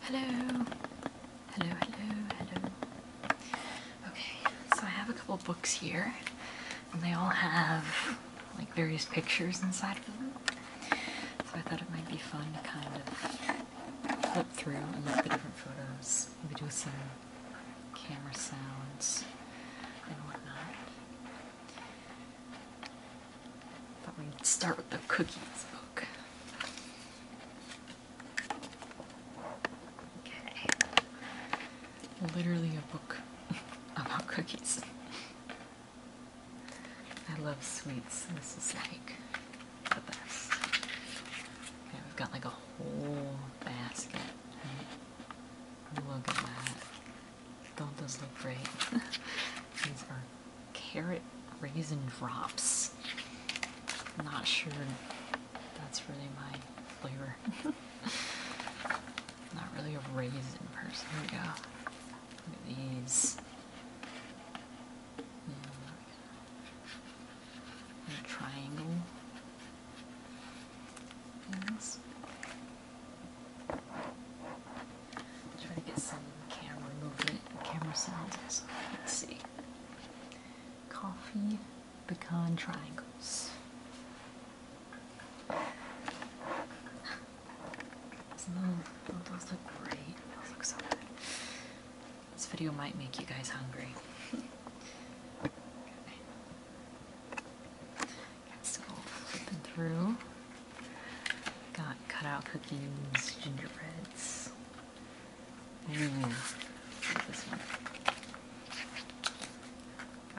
Hello. Hello, hello, hello. Okay, so I have a couple books here, and they all have like various pictures inside of them. So I thought it might be fun to kind of flip through and look at the different photos, maybe do some camera sounds and whatnot. Thought we'd start with the cookies book. Okay. Literally a book about cookies. I love sweets. This is like the best. Okay, we've got like a whole basket. Look at that. Don't those look great? These are carrot raisin drops. I'm not sure that's really my flavor. not really a raisin person. Here we go. these. Mm, triangle things. Try to get some camera movement and camera sounds Let's see. Coffee pecan triangles. Those, those look great. Those look so good. This video might make you guys hungry. okay. So flipping through. Got cutout cookies, gingerbreads, Mm.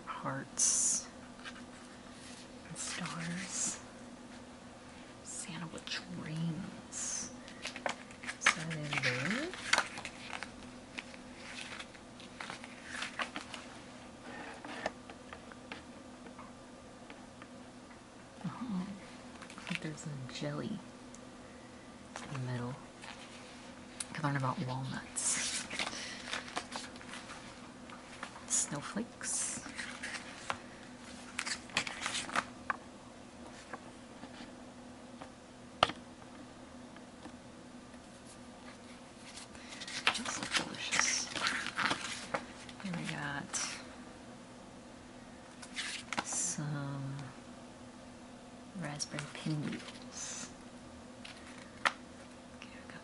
hearts and stars. Santa with dreams. Uh-huh. there's a jelly in the middle. I learned about walnuts. Snowflakes. Those look delicious. Here we got some raspberry pinwheels. Okay, we got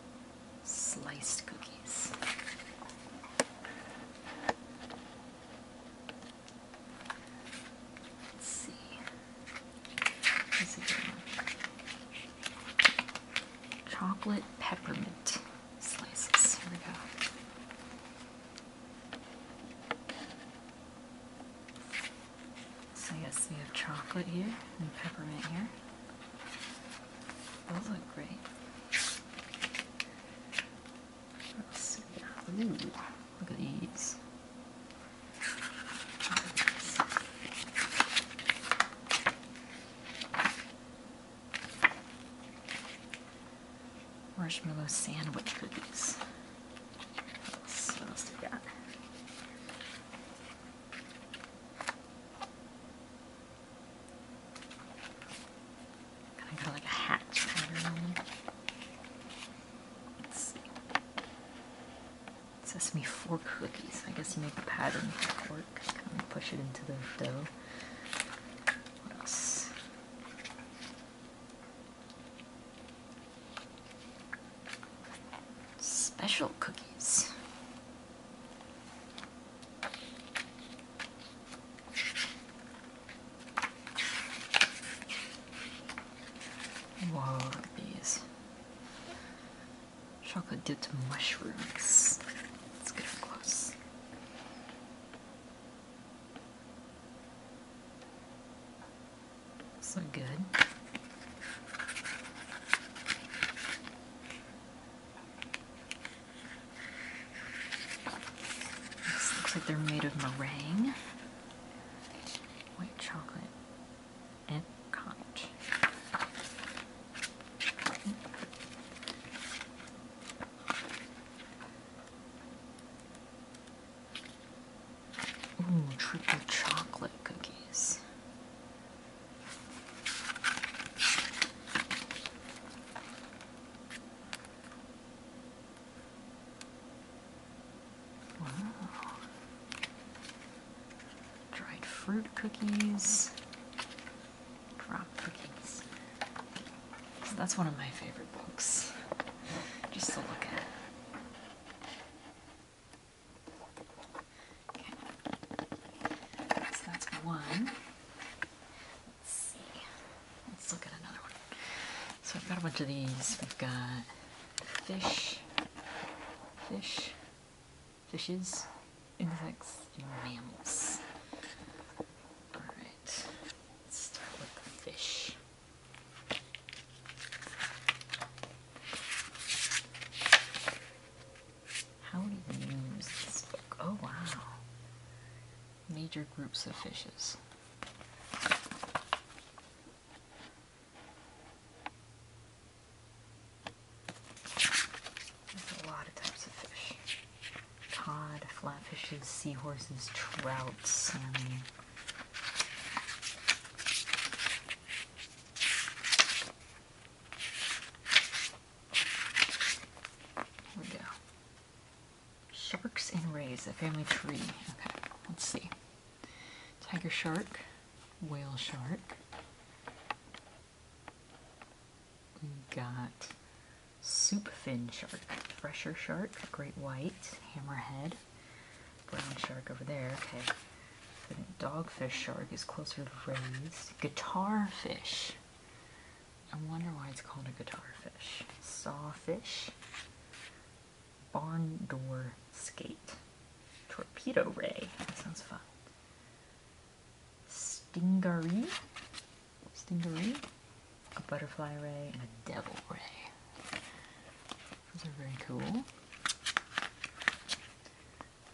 sliced cookies. Let's see. This is Chocolate peppermint slices. Here we go. So yes, we have chocolate here and peppermint here. Those look great. Let's see. Ooh, look at these marshmallow sandwich cookies. What else, do we got? Kind of like a hat pattern. Let's see. Sesame fork cookies. I guess you make a pattern fork, push it into the dough. What else? Special cookies. Whoa, these. Chocolate dipped mushrooms. Let's get close. So good. looks like they're made of meringue, white chocolate, and conch. Ooh, triple chocolate cookies. Dried fruit cookies. Drop cookies that's one of my favorite books, just to look at. Okay. So that's one. Let's see. Let's look at another one. So we've got a bunch of these. We've got fish, fish, fishes, insects, mammals. Alright. Let's start with fish. How many names is this book? Oh wow. Major groups of fishes. There's a lot of types of fish cod, flatfishes, seahorses, trout, salmon. Here we go. Sharks and rays, A family tree. Okay, let's see. Tiger shark, whale shark. We got soup fin shark, fresher shark, great white, hammerhead, brown shark over there. Okay, the dogfish shark is closer to rays. Guitar fish. I wonder why it's called a guitar fish. Sawfish. Barn door skate. Torpedo ray. That sounds fun. Stingaree stingeray, a butterfly ray, and a devil ray. Those are very cool.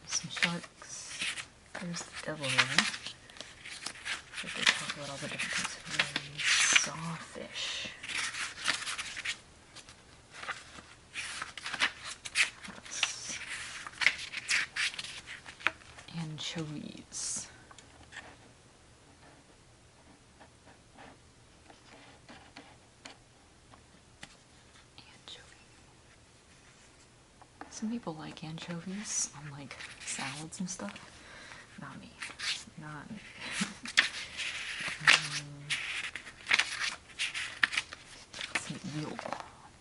There's some sharks. There's the devil ray. But they all the different kinds of rays. Sawfish. anchovies. Anchovy. Some people like anchovies on like salads and stuff. Not me. Not. um, eel.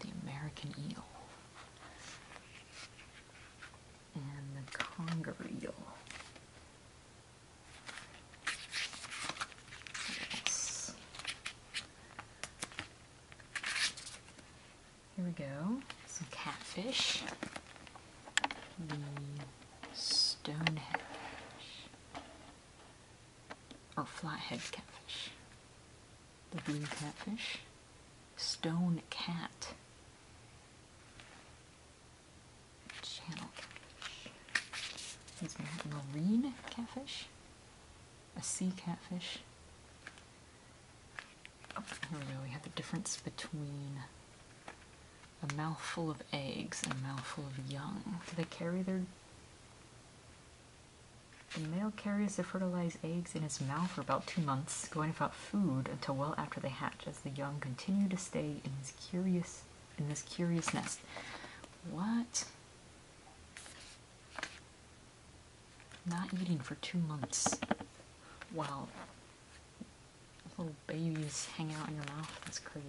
The American eel and the conger yes. Here we go. Some catfish. The stonehead or oh, flathead catfish. The blue catfish. Stone cat. Channel catfish. These are marine catfish, a sea catfish. Oh, here we go, we have the difference between a mouthful of eggs and a mouthful of young. Do they carry their... The male carries the fertilized eggs in his mouth for about two months, going without food until well after they hatch the young continue to stay in this curious in this curious nest. What? Not eating for two months. Wow. Little babies hang out in your mouth. That's crazy.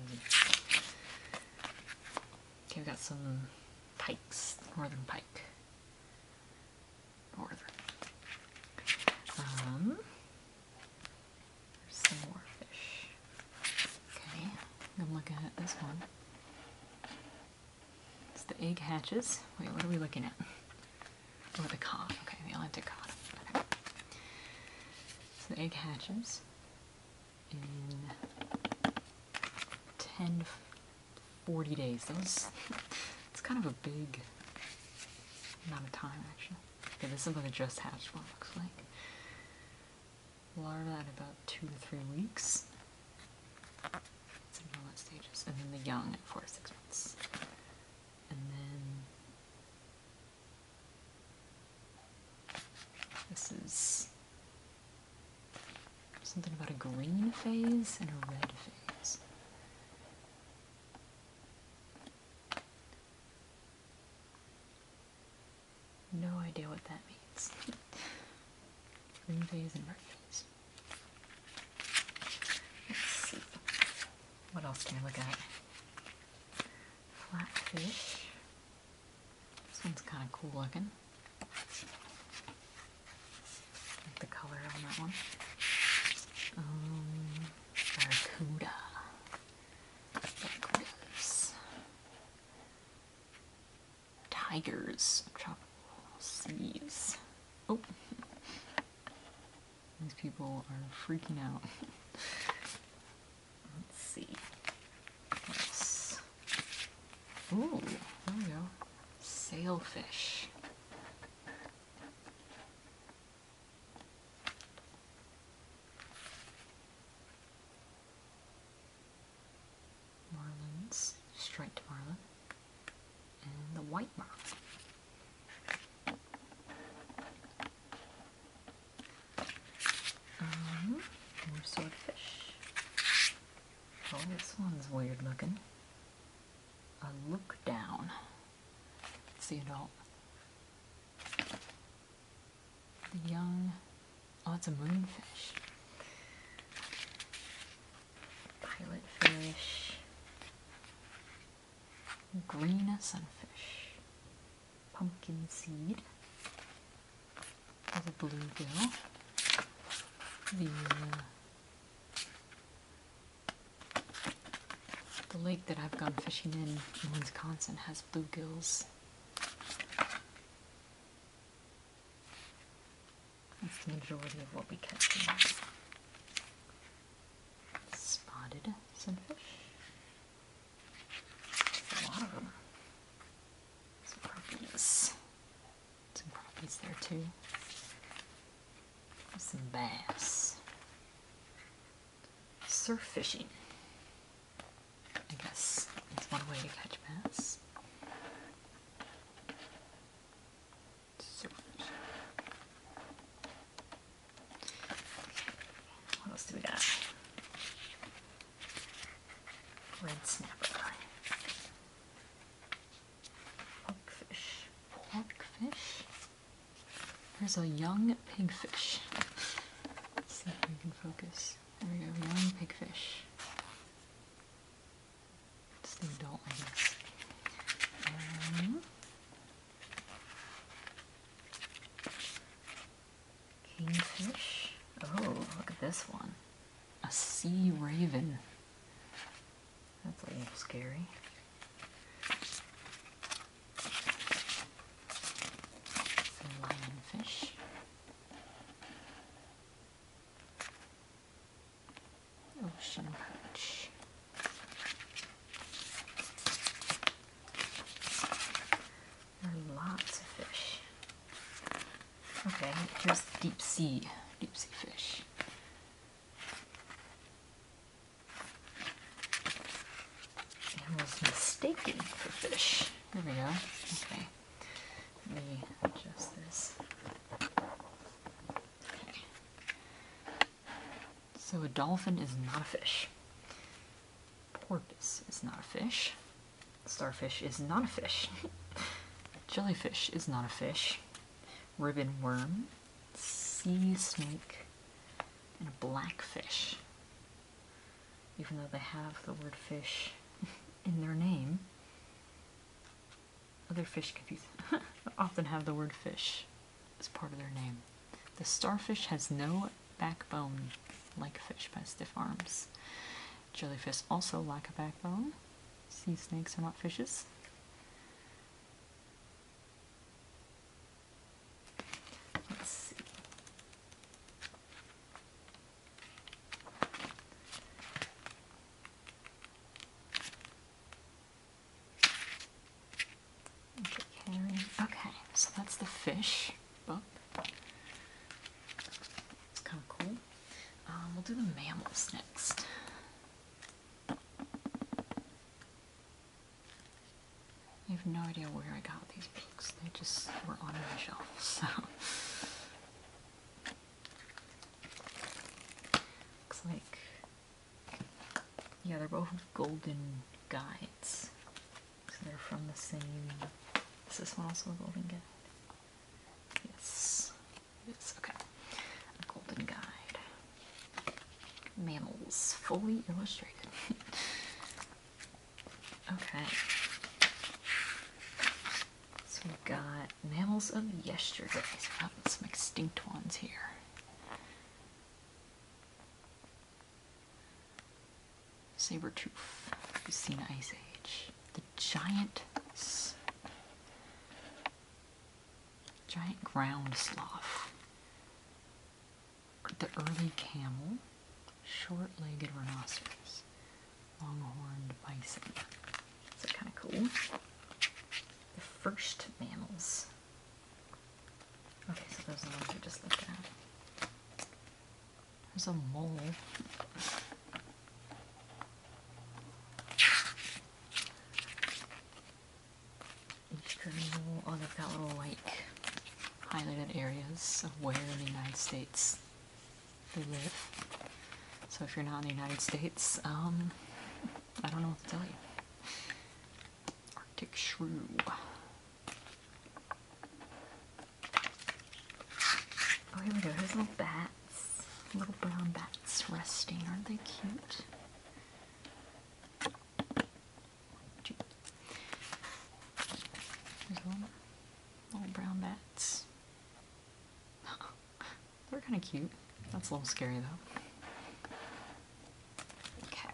Okay, we have got some pikes, northern pike northern. Um, there's some more fish. Okay, I'm looking at this one. It's the egg hatches. Wait, what are we looking at? oh, the cod. Okay, the Atlantic cod. So the egg hatches in 10 40 days. That was, it's kind of a big not a time, actually. Okay, this is what a just hatched one looks like. Larva at about two to three weeks. It's in all stages. And then the young at four to six months. And then this is something about a green phase and a red phase. No idea what that means. Green phase and red phase. Let's see. What else can I look at? Flatfish. This one's kind of cool looking. I like the color on that one. Um, Barracuda. Tigers of tropical Oh. These people are freaking out. Let's see. What else? there we go. Sailfish. Marlins, striped marlin, and the white marlin. Um, swordfish. Oh, this one's weird looking. I look down. It's the adult. The young. Oh, it's a moonfish. Pilotfish. Green sunfish. Pumpkin seed. There's a bluegill. The uh, the lake that I've gone fishing in in Wisconsin has bluegills. That's the majority of what we catch there. Spotted sunfish. A Some crappies. Some crappies there too some bass. Surf fishing. I guess it's one way to catch bass. Surf What else do we got? Red snapper. Porkfish. Porkfish? There's a young pigfish. Let's see if we can focus. There we go, young pigfish. It's the adult, I kingfish. Oh, look at this one. A sea raven. That's a little scary. Some lionfish. Ocean perch. lots of fish. Okay, here's deep sea, deep sea fish. It mistaken for fish. There we go. Okay. Let me adjust this. Okay. So a dolphin is not a fish. Porpoise is not a fish. Starfish is not a fish. Jellyfish is not a fish ribbon worm, sea snake, and a blackfish. Even though they have the word fish in their name, other fish confuse often have the word fish as part of their name. The starfish has no backbone like fish but stiff arms. Jellyfish also lack a backbone. Sea snakes are not fishes. Okay, so that's the fish book. It's kind of cool. Um, we'll do the mammals next. I have no idea where I got these books. They just were on my shelf, so. Looks like, yeah, they're both golden guides. So they're from the same, is this one also a golden guide? Yes, yes, okay. A golden guide. Mammals, fully illustrated. okay. So we've got mammals of yesterday. some extinct ones here. Saber tooth. we have seen Ice Age. The giant Giant ground sloth. The early camel. Short-legged rhinoceros. Long-horned bison. So kind of cool. The first mammals. Okay, so those are the ones we just looking at. There's a mole each journal. Oh, they've got little like highlighted areas of where in the United States they live. So if you're not in the United States, um, I don't know what to tell you. Arctic shrew. Oh, here we go. Here's little bats. Little brown bats resting. Aren't they cute? little, brown bats. They're kind of cute. That's a little scary though. Okay.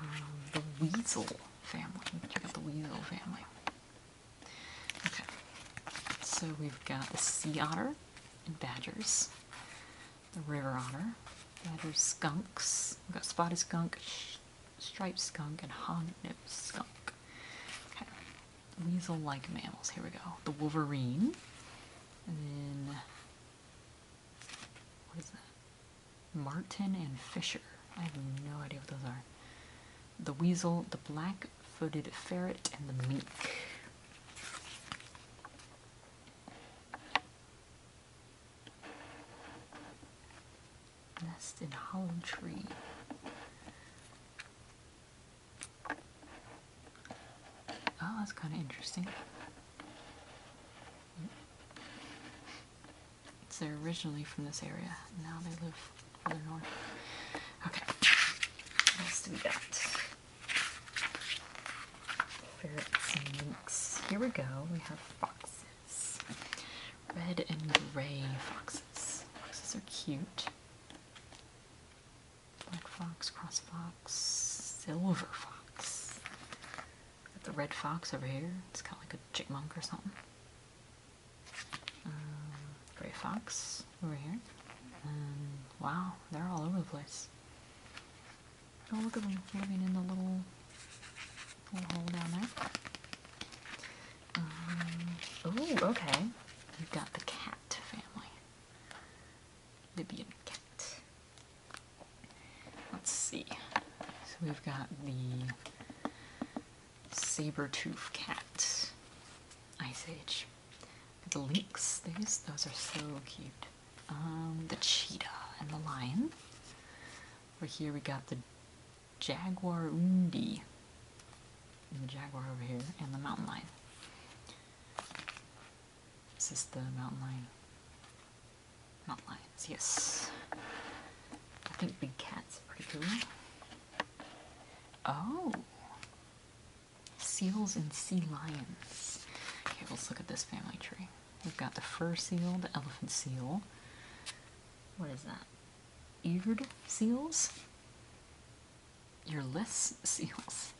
Um, the weasel family. Check out the weasel family. Okay. So we've got the sea otter, and badgers. The river otter, badger skunks. We've got spotted skunk, striped skunk, and horned skunk. Okay, weasel-like mammals. Here we go. The wolverine, and then what is that? Martin and Fisher. I have no idea what those are. The weasel, the black footed ferret and the mink. Nest in hollow tree. Oh, that's kind of interesting. So they're originally from this area. Now they live further north. Okay. What else do we got? Ferrets and minks. Here we go. We have foxes. Red and gray foxes. Foxes are cute. Black fox, cross fox, silver fox. Got the red fox over here. It's kind of like a chipmunk or something. Um, gray fox over here. wow, they're all over the place. Oh, look at them living in the little, little hole down there. oh, okay. We've got the cat family. Libyan cat. Let's see. So we've got the saber-tooth cat. Ice Age. The lynx, these, those are so cute. Um, the cheetah and the lion. Over here we got the jaguar undi. the jaguar over here, and the mountain lion. Is the mountain lion? Mountain lions, yes. I think big cats are pretty cool. Oh! Seals and sea lions. Okay, let's look at this family tree. We've got the fur seal, the elephant seal. What is that? Eared seals? Earless seals.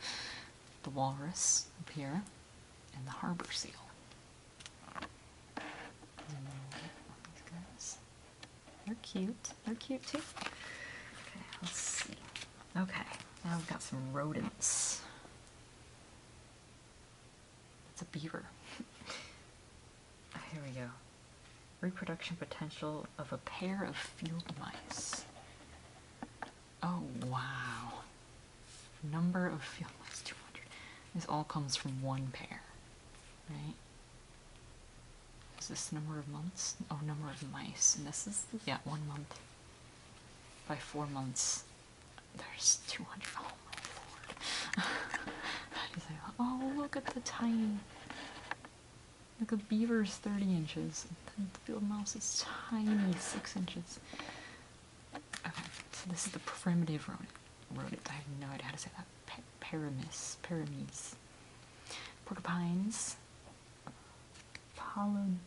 The walrus up here, and the harbor seal. They're cute. They're cute too. Okay, let's see. Okay, now we've got some rodents. It's a beaver. Here we go. Reproduction potential of a pair of field mice. Oh, wow. Number of field mice, 200. This all comes from one pair, right? is this number of months? Oh, number of mice. And this is, yeah, one month by four months. There's 200. Oh my lord. that is a, oh, look at the tiny. look at beavers, 30 inches. And the field mouse is tiny, 6 inches. Okay, so this is the primitive rodent. I have no idea how to say that. P Paramis. Paramis. Porcupines. Polodontia.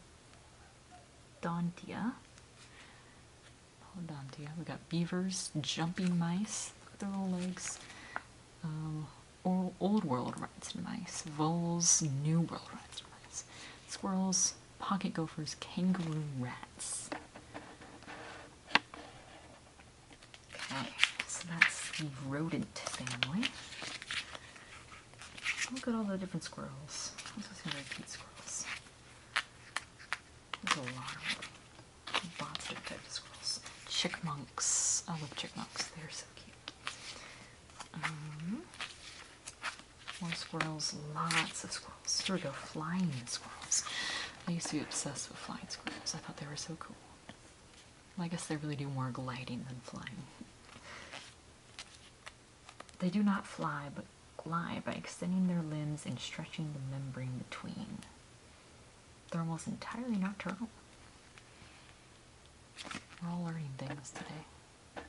Polodontia. We got beavers, jumping mice, their little legs, um, old, old world rats and mice, voles, new world rats and mice, squirrels, pocket gophers, kangaroo rats. Okay, so that's the rodent family. Look at all the different squirrels. Those some very squirrels. There's a lot of bobster type of squirrels. Chickmunks. I love chickmunks. They're so cute. Um, more squirrels. Lots of squirrels. Here we go. Flying squirrels. I used to be obsessed with flying squirrels. I thought they were so cool. I guess they really do more gliding than flying. They do not fly, but glide by extending their limbs and stretching the membrane between. They're almost entirely nocturnal. We're all learning things today.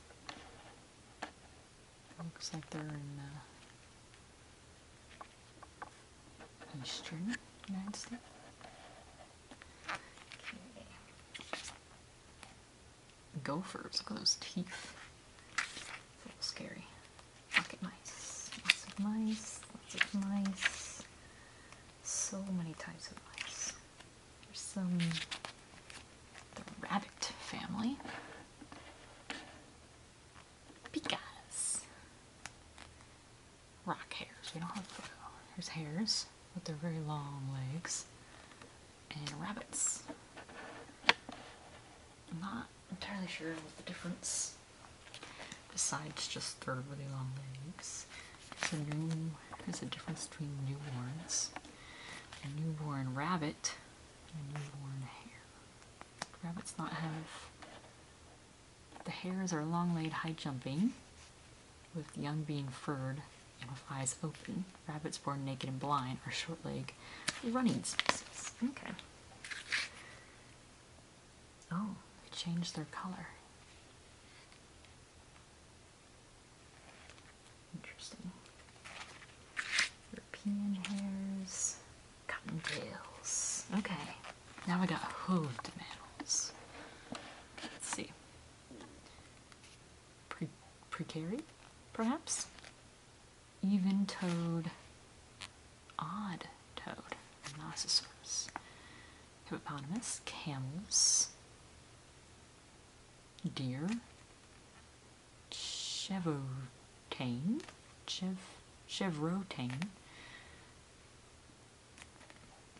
Looks like they're in the uh, eastern United States. Gophers, look at those teeth. a little scary. Pocket mice, lots of mice, lots of mice. So many types of mice. There's some, the rabbit family. Pikas rock hares. We don't have rock There's hares with their very long legs. And rabbits. I'm not entirely sure what the difference besides just their really long legs. So new, there's a difference between newborns. A newborn rabbit and newborn hare. Rabbits not have the hares are long legged high jumping with young being furred and with eyes open. Rabbits born naked and blind are short legged running species. Okay. Oh, they change their color. Interesting. European hares, cottontails. Okay. Now we got hooved mammals. Let's see pre perhaps? Even toed, odd toed, rhinoceros, hippopotamus, camels, deer, chevrotain, chev, chevrotain,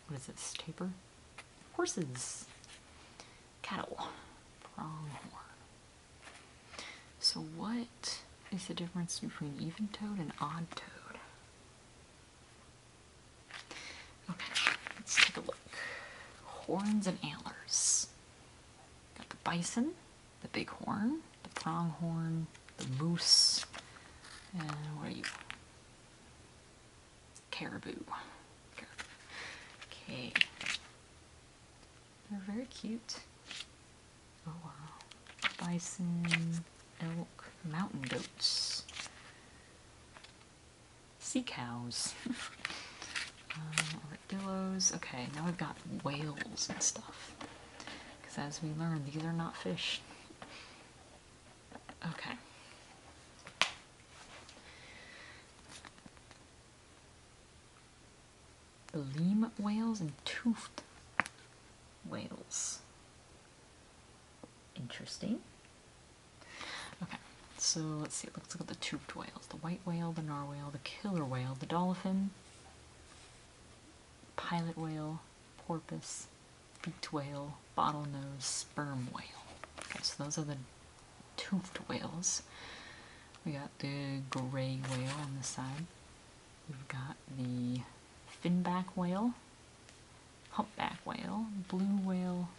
what is this, taper? Horses, cattle, pronghorn. So what is the difference between even toed and odd toed? Okay, let's take a look. Horns and antlers. Got the bison, the bighorn, the pronghorn, the moose, and what are you? caribou. Okay. They're very cute. Oh wow. Bison, elk, mountain goats, sea cows, um, Okay, now i have got whales and stuff. Because as we learned, these are not fish. Okay. Gleam whales and toothed whales. Interesting. Okay, so let's see. Let's look at the toothed whales. The white whale, the narwhale, the killer whale, the dolphin, pilot whale, porpoise, beaked whale, bottlenose, sperm whale. Okay, so those are the toothed whales. We got the gray whale on the side. We've got the finback whale, humpback whale, blue whale.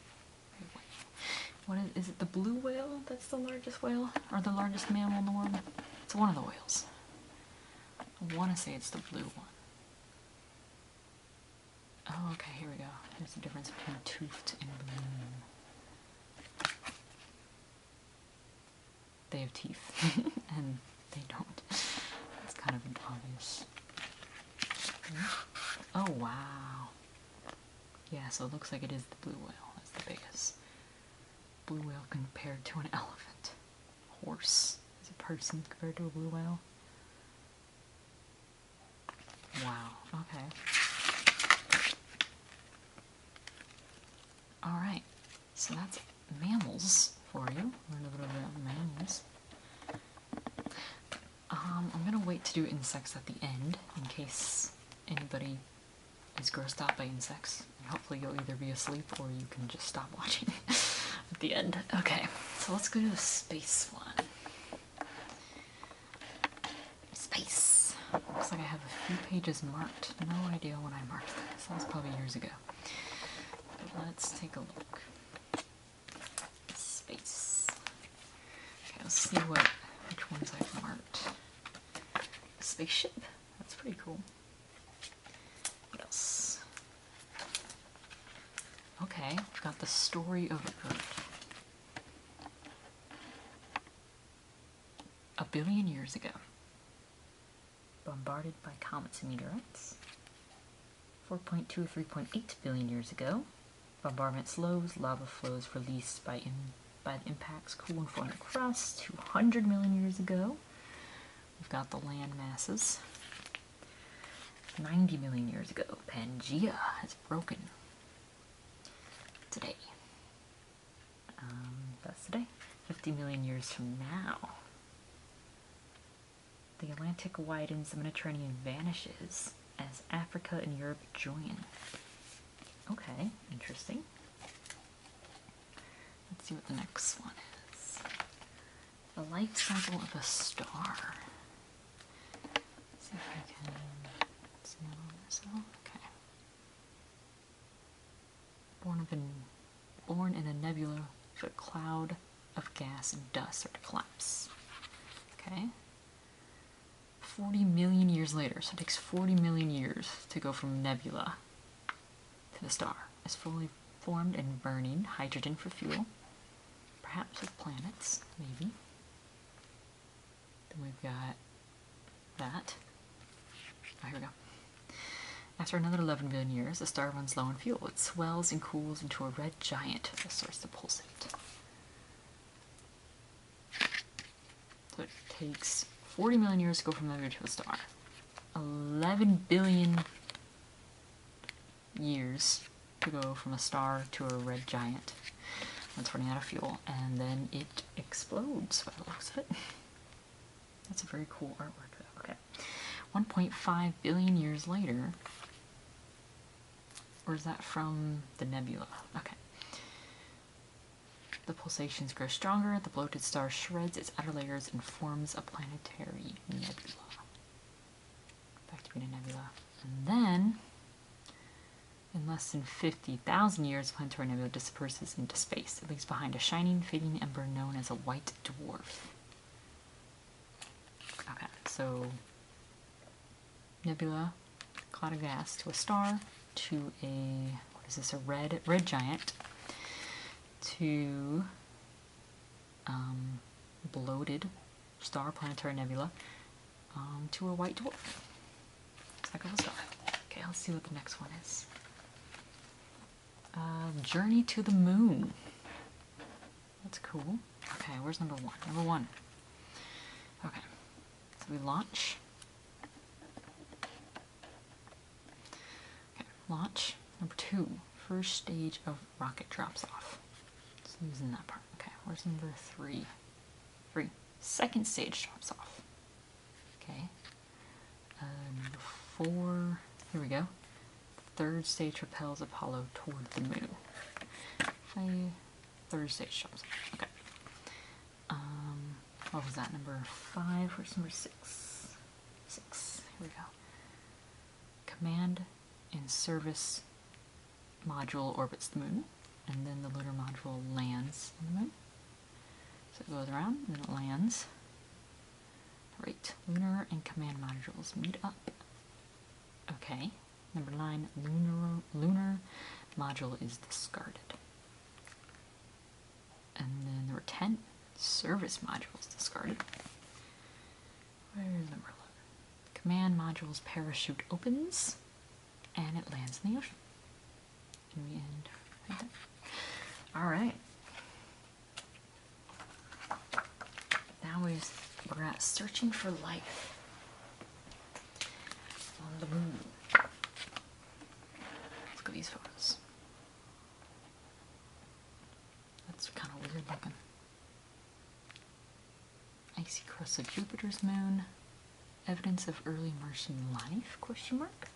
What is, is it the blue whale that's the largest whale? Or the largest mammal in the world? It's one of the whales. I want to say it's the blue one. Oh, okay, here we go. Here's the difference between toothed and blue. They have teeth, and they don't. That's kind of obvious. Oh, wow. Yeah, so it looks like it is the blue whale. That's the biggest. Blue whale compared to an elephant. Horse is a person compared to a blue whale. Wow, okay. Alright, so that's mammals for you. a little bit about mammals. Um, I'm gonna wait to do insects at the end in case anybody is grossed out by insects. And hopefully you'll either be asleep or you can just stop watching at the end. Okay, so let's go to the space one. Space. Looks like I have a few pages marked. No idea when I marked this. That was probably years ago. let's take a look. Space. Okay, let's see what which ones i marked. Spaceship. That's pretty cool. What else? Okay, we've got the story of Earth. A billion years ago, bombarded by comets and meteorites. 4.2 or 3.8 billion years ago, bombardment slows, lava flows released by, by impacts cooling from the crust. 200 million years ago, we've got the land masses. 90 million years ago, Pangea has broken. Today. Um, that's today. 50 million years from now. The Atlantic widens, the Mediterranean vanishes as Africa and Europe join. Okay, interesting. Let's see what the next one is the life cycle of a star. see if I can zoom in on myself. Okay. Born in a nebula, a cloud of gas and dust or to collapse. Okay. 40 million years later, so it takes 40 million years to go from nebula to the star. It's fully formed and burning hydrogen for fuel perhaps with planets, maybe. Then we've got that. Ah, here we go. After another 11 billion years, the star runs low on fuel. It swells and cools into a red giant that starts pulsate. So it takes 40 million years to go from a another to a star. 11 billion years to go from a star to a red giant that's running out of fuel and then it explodes That's a very cool artwork Okay. 1.5 billion years later or is that from the nebula? Okay. The pulsations grow stronger, the bloated star shreds its outer layers and forms a planetary nebula back to Green Nebula. And then, in less than 50,000 years, Planetary Nebula disperses into space. It leaves behind a shining, fading ember known as a white dwarf. Okay, so nebula, cloud of gas, to a star, to a, what is this, a red, red giant, to um, bloated star planetary nebula um, to a white dwarf. Second star. Okay, let's see what the next one is. Uh, Journey to the Moon. That's cool. Okay, where's number one? Number one. Okay, so we launch. Okay, launch. Number two, first stage of rocket drops off. It's losing that part. Okay, where's number three? Three. Second stage drops off. Okay. Uh, number four. Here we go. Third stage repels Apollo toward the moon. I, third stage drops off. Okay. Um, what was that? Number five. Where's number six? Six. Here we go. Command and service module orbits the moon, and then the lunar module lands on the moon. So it goes around, and then it lands. Right, lunar and command modules meet up. Okay, number nine, lunar, lunar module is discarded. And then there number 10, service modules discarded. Command module's parachute opens and it lands in the ocean. And we end Alright. Now we're searching for life on the moon. Let's go these photos. That's kind of weird looking. Icy crust of Jupiter's moon. Evidence of early Martian life? Question mark.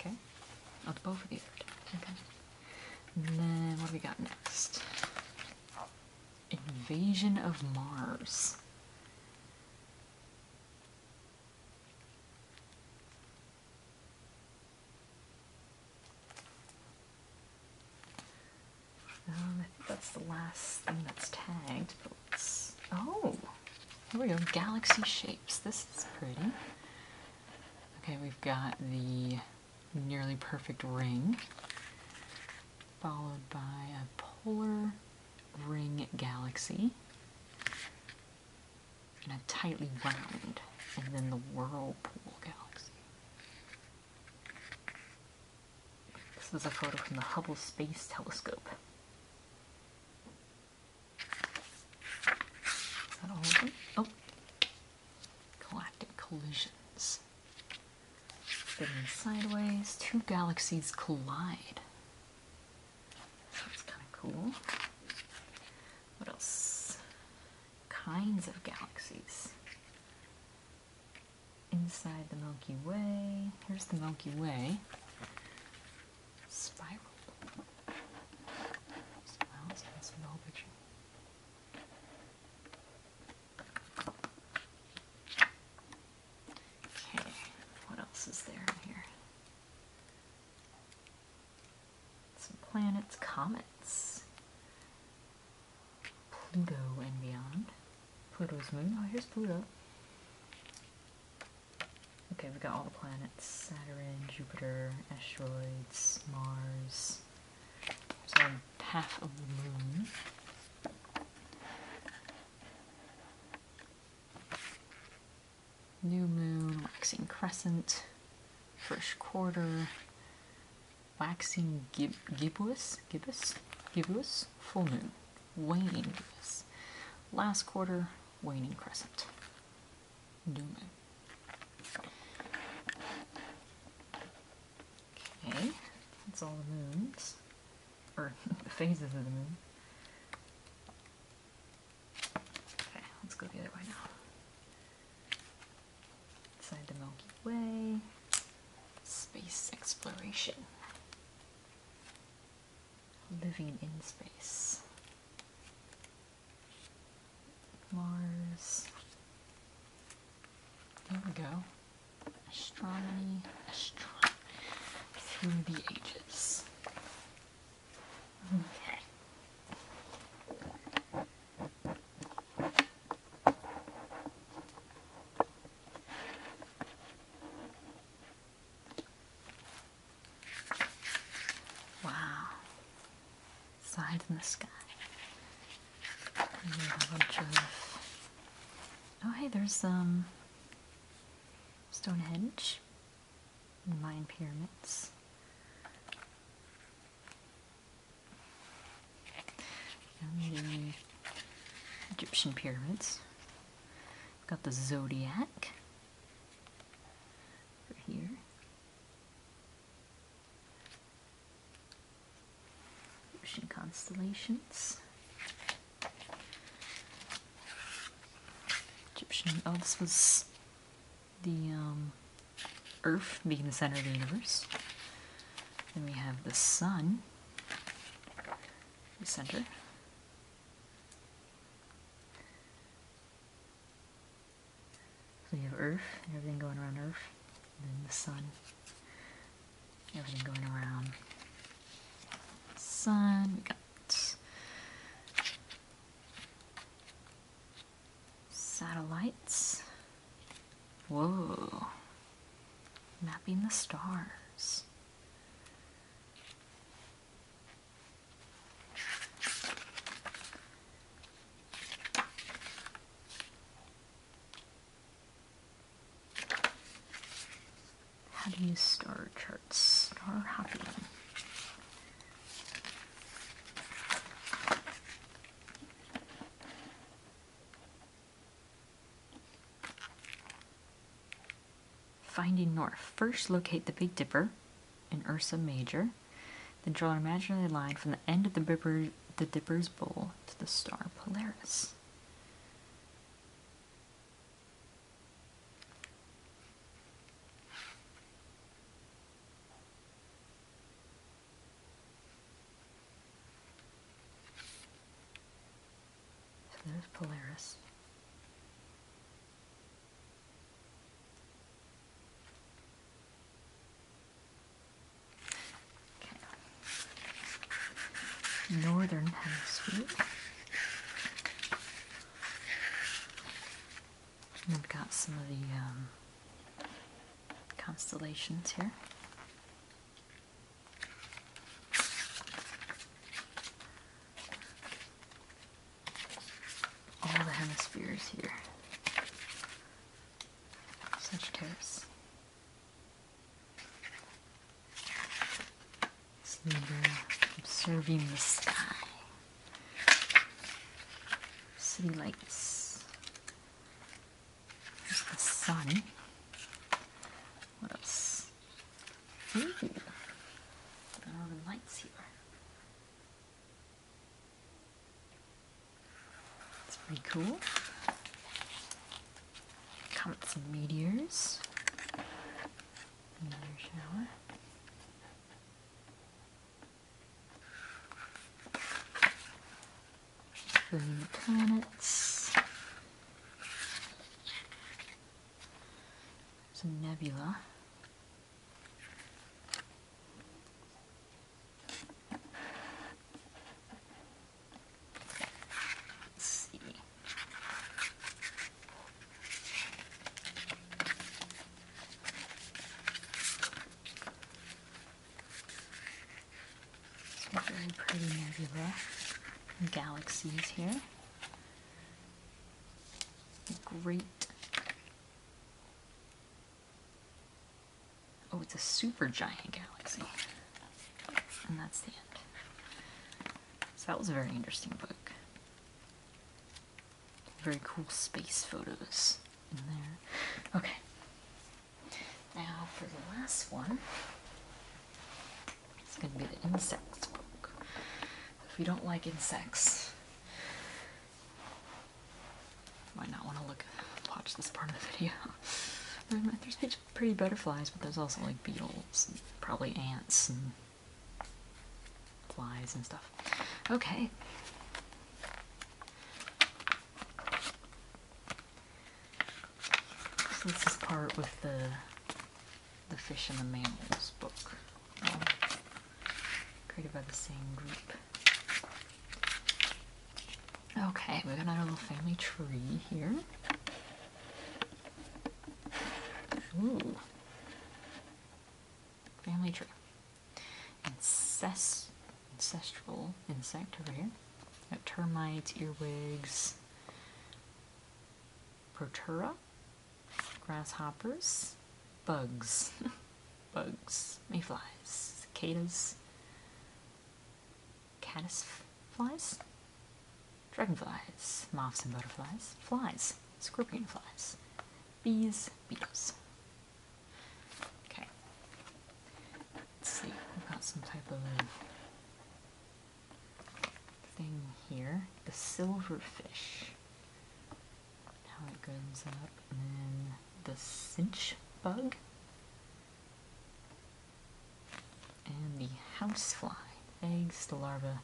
Okay. not oh, will do both of the other Okay. And then what do we got next? Invasion of Mars. Um, I think that's the last thing that's tagged. oh, here we go. Galaxy shapes. This is pretty. Okay, we've got the nearly perfect ring, followed by a polar ring galaxy and a tightly wound, and then the whirlpool galaxy. This is a photo from the Hubble Space Telescope. Is that all of them? Oh, galactic collisions. Fitting sideways, two galaxies collide. That's kind of cool. What else? Kinds of galaxies. Inside the Milky Way. Here's the Milky Way. Spiral. Spirals, that's the whole picture. Okay, what else is there in here? planets, comets, Pluto and beyond. Pluto's moon. Oh, here's Pluto. Okay, we have got all the planets. Saturn, Jupiter, asteroids, Mars. So half of the moon new moon, waxing crescent, first quarter, waxing gib gibbous, gibbous, gibbous, full moon, waning gibbous, last quarter, waning crescent, new moon. Okay, that's all the moons, or phases of the moon. Okay, let's go the other way now. Inside the Milky Way, space exploration, living in space, Mars. There we go. Astronomy, through the ages. Okay. Wow. Side in the sky. Oh, hey, there's some um, Stonehenge Mine pyramids. the Egyptian pyramids. Got the zodiac here. Ocean constellations. Egyptian. Oh, this was the um, Earth being the center of the universe. Then we have the Sun, the center. So you have Earth and everything going around Earth, then the Sun, everything going around Sun. We got Satellites. Whoa. Mapping the stars how do you star charts, star hopping. Finding North. First, locate the Big Dipper in Ursa Major. Then draw an imaginary line from the end of the Dipper's bowl to the star Polaris. And there's Polaris. Northern Hemisphere we have got some of the um, constellations here. All the hemispheres here. Sagittarius. It's number observing the sky. City lights. There's the sun. What else? Ooh, the lights here. It's pretty cool. Comets some meteors. Another shower. Including planets. There's nebula. Let's see. Some very pretty nebula galaxies here. Great. Oh, it's a super giant galaxy. And that's the end. So that was a very interesting book. Very cool space photos in there. Okay. Now for the last one, it's going to be the insects book. If you don't like insects, might not want to look watch this part of the video. there's pretty butterflies, but there's also like beetles probably ants flies and stuff. Okay. So this is part with the the fish and the mammals book, um, created by the same group. Okay, we got our little family tree here. Ooh. Family tree. ancestral insect over here. termites, earwigs, Protura, grasshoppers, bugs, bugs, mayflies, cicadas, flies dragonflies, moths and butterflies, flies, scorpion flies, bees, beetles. Okay, let's see, we've got some type of thing here, the silverfish. How it goes up, and then the cinch bug, and the housefly, eggs, the larva,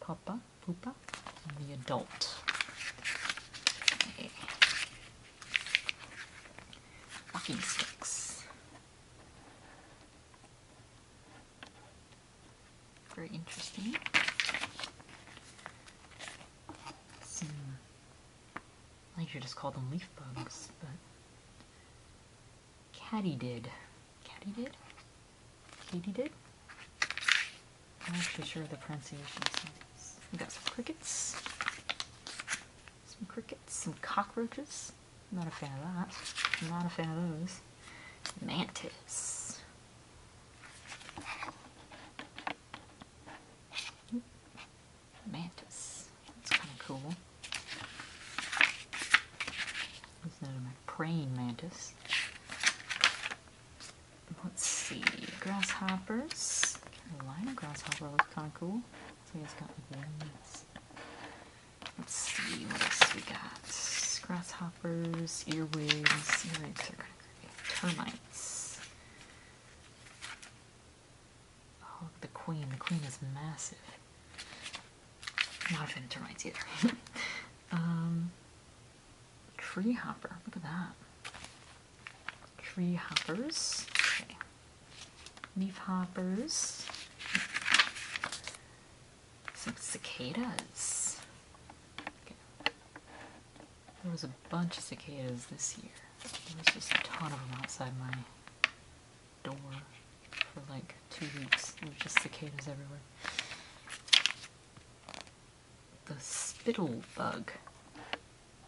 Papa, Poopa, the adult. Okay. sticks. Very interesting. Some, I think you just call them leaf bugs, but Caddy did. Caddy did? Katie did? I'm actually sure of the pronunciation. We got some crickets. Some crickets. Some cockroaches. I'm not a fan of that. I'm not a fan of those. Mantis. Mantis. That's kind of cool. Is that? a praying mantis. Let's see. Grasshoppers. Carolina grasshopper looks kind of cool. So it's got wings. Let's see what else we got. Grasshoppers, earwigs, earwigs are kind of creepy. Termites. Oh, the queen. The queen is massive. Not a fan of termites either. um, tree hopper. Look at that. Tree hoppers. Okay. Leaf hoppers. Some cicadas. Okay. There was a bunch of cicadas this year. There was just a ton of them outside my door for like two weeks. There were just cicadas everywhere. The spittlebug.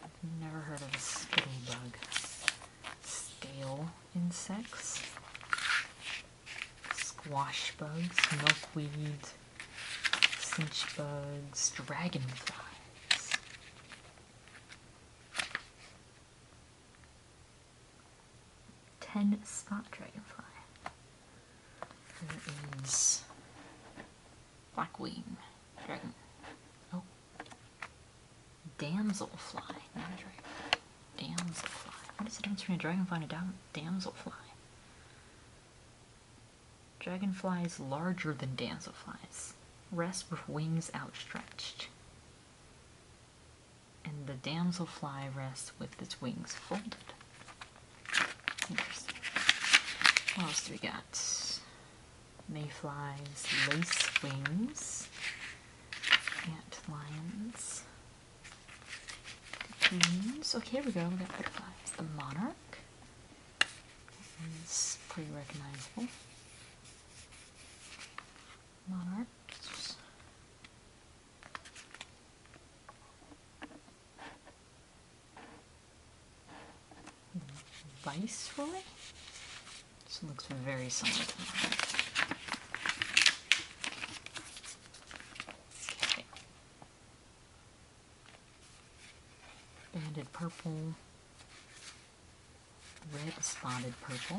I've never heard of a spittlebug. bug. Scale insects, squash bugs, milkweed, cinch bugs, dragonflies. 10 spot dragonfly. There is Blackwing dragon. Oh. damsel fly. a What is the difference between a dragonfly and a damselfly? Dragonfly is larger than damsel flies. Rest with wings outstretched and the damselfly rests with its wings folded. Interesting. What else do we got? Mayflies, lace wings, ant lions, cocoons. Okay, here we go. We got butterflies. The monarch. It's pretty recognizable. Monarchs. Viceroy? This looks very similar to mine. Banded purple, red spotted purple,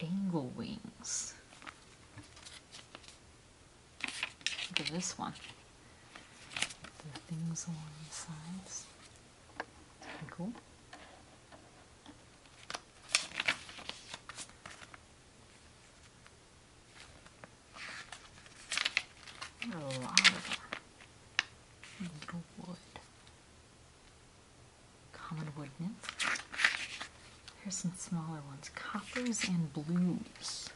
angle wings. Look at this one. The things along the sides. Pretty cool. A lot of Little wood common wood nymph. Here's some smaller ones, coppers and blues.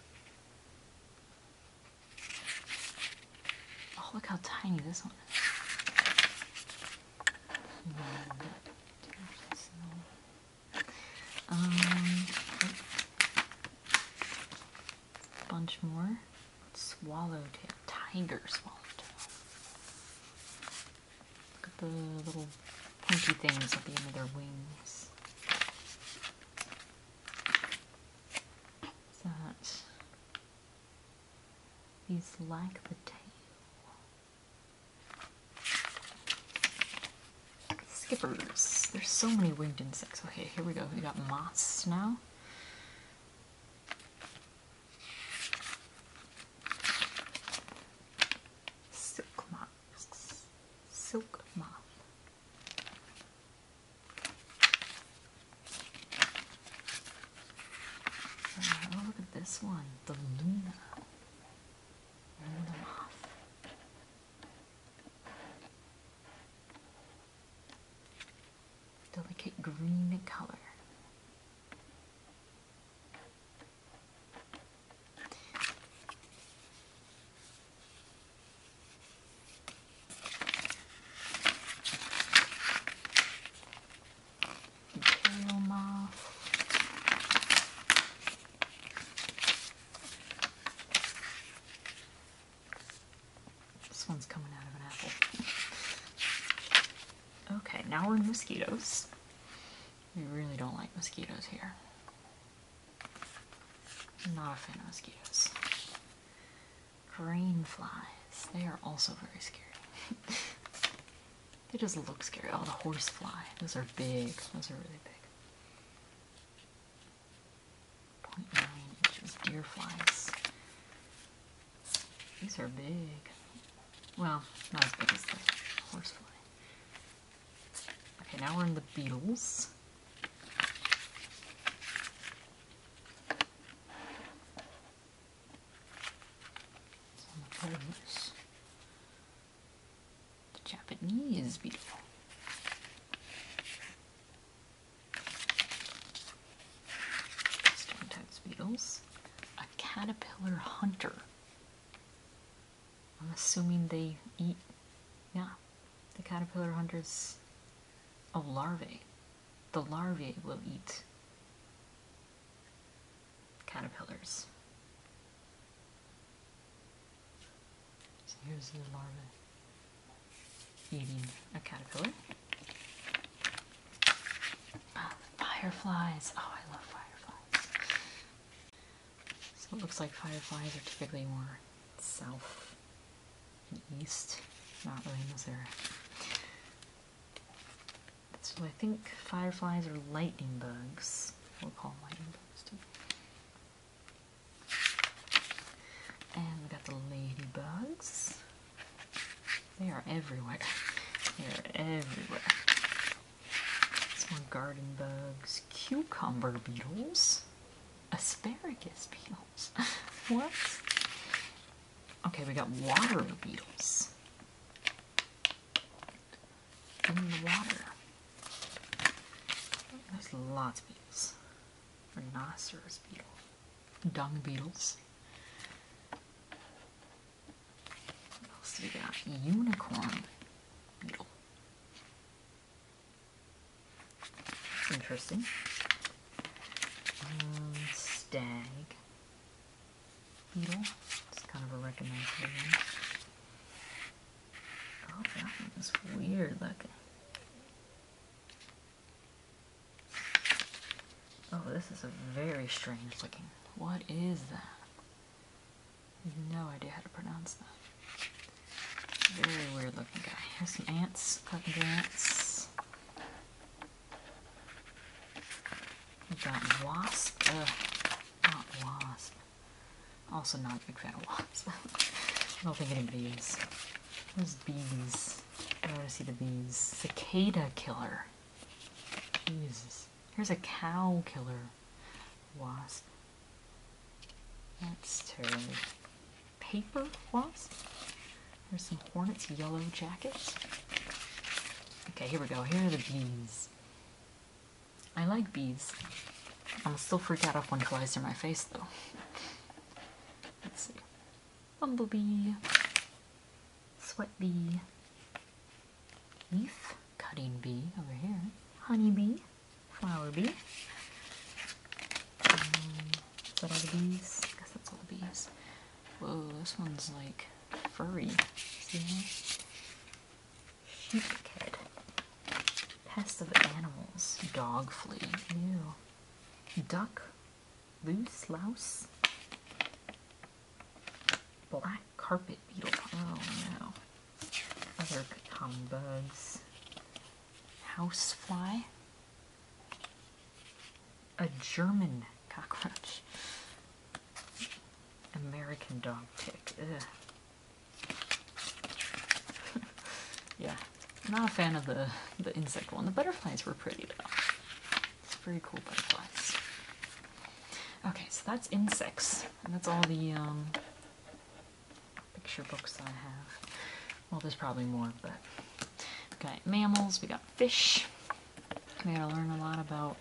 Oh, look how tiny this one is. Um, bunch more. Swallowtail, tiger swallowtail. Look at the little pointy things at the end of their wings. That is like the tail. Skippers. There's so many winged insects. Okay, here we go. We got moths now silk moths. Silk moth. oh, look at this one, the Luna. Luna moth. Delicate green color. Imperial moth. This one's coming out of an apple. Okay, now we're in mosquitoes. We really don't like mosquitoes here. I'm not a fan of mosquitoes. Green flies. They are also very scary. they just look scary. Oh, the horse fly. Those are big. Those are really big. 0.9 inches deer flies. These are big. Well, not as big as the horsefly. Okay, now we're in the beetles. The Japanese beetle. Stone types A caterpillar hunter. I'm assuming they eat, yeah, the caterpillar hunters Oh, larvae. The larvae will eat caterpillars. So here's the larva eating a caterpillar. Ah, fireflies. Oh, I love fireflies. So it looks like fireflies are typically more south and east, not really in this area. So I think fireflies are lightning bugs. We'll call lightning bugs too. And we got the ladybugs. They are everywhere. They are everywhere. Some more garden bugs, cucumber beetles, asparagus beetles. what? Okay, we got water beetles. In the water. There's lots of beetles. Rhinoceros beetle. Dung beetles. What else we got? Unicorn beetle. Interesting. Um, stag beetle. It's kind of a recognizable one. Oh, that one is weird looking. Oh, this is a very strange looking. What is that? I have no idea how to pronounce that. Very weird looking guy. Here's some ants, carpenter ants. We've got wasp. not wasp. Also not a big fan of wasps. I don't think anybody is. Those bees. I want to see the bees. Cicada killer. Jesus. Here's a cow killer wasp. That's us paper wasp. There's some hornets, yellow jackets. Okay, here we go. Here are the bees. I like bees. I'm still freaked out if one flies through my face, though. Let's see. Bumblebee. Sweat bee leaf cutting bee over here, honey bee, flower bee. Um, all the bees? I guess that's all the bees. Whoa, this one's like furry. See? Sheepkid. Pests of animals. Dog flea. Ew. Duck. Loose louse. Black carpet beetle. Oh no. Other common bugs. Housefly. A German cockroach. American dog tick. yeah, not a fan of the, the insect one. The butterflies were pretty though. It's very cool butterflies. Okay, so that's insects, and that's all the um, picture books I have. Well, there's probably more, but we got mammals, we got fish. We gotta learn a lot about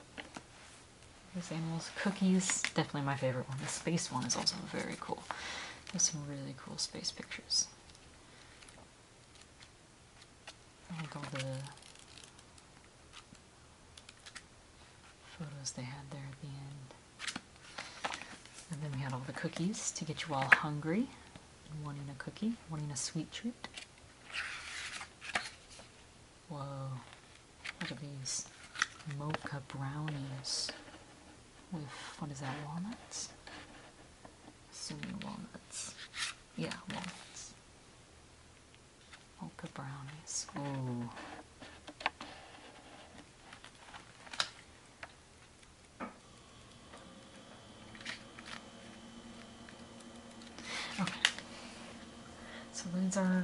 these animals. Cookies, definitely my favorite one. The space one is also very cool. There's some really cool space pictures. all oh the photos they had there at the end. And then we had all the cookies to get you all hungry, wanting a cookie, wanting a sweet treat. Whoa, look at these mocha brownies with, what is that, walnuts? Assuming walnuts. Yeah, walnuts. Polka brownies. Okay. So those are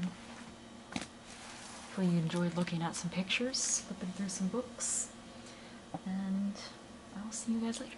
hopefully you enjoyed looking at some pictures, flipping through some books, and I'll see you guys later.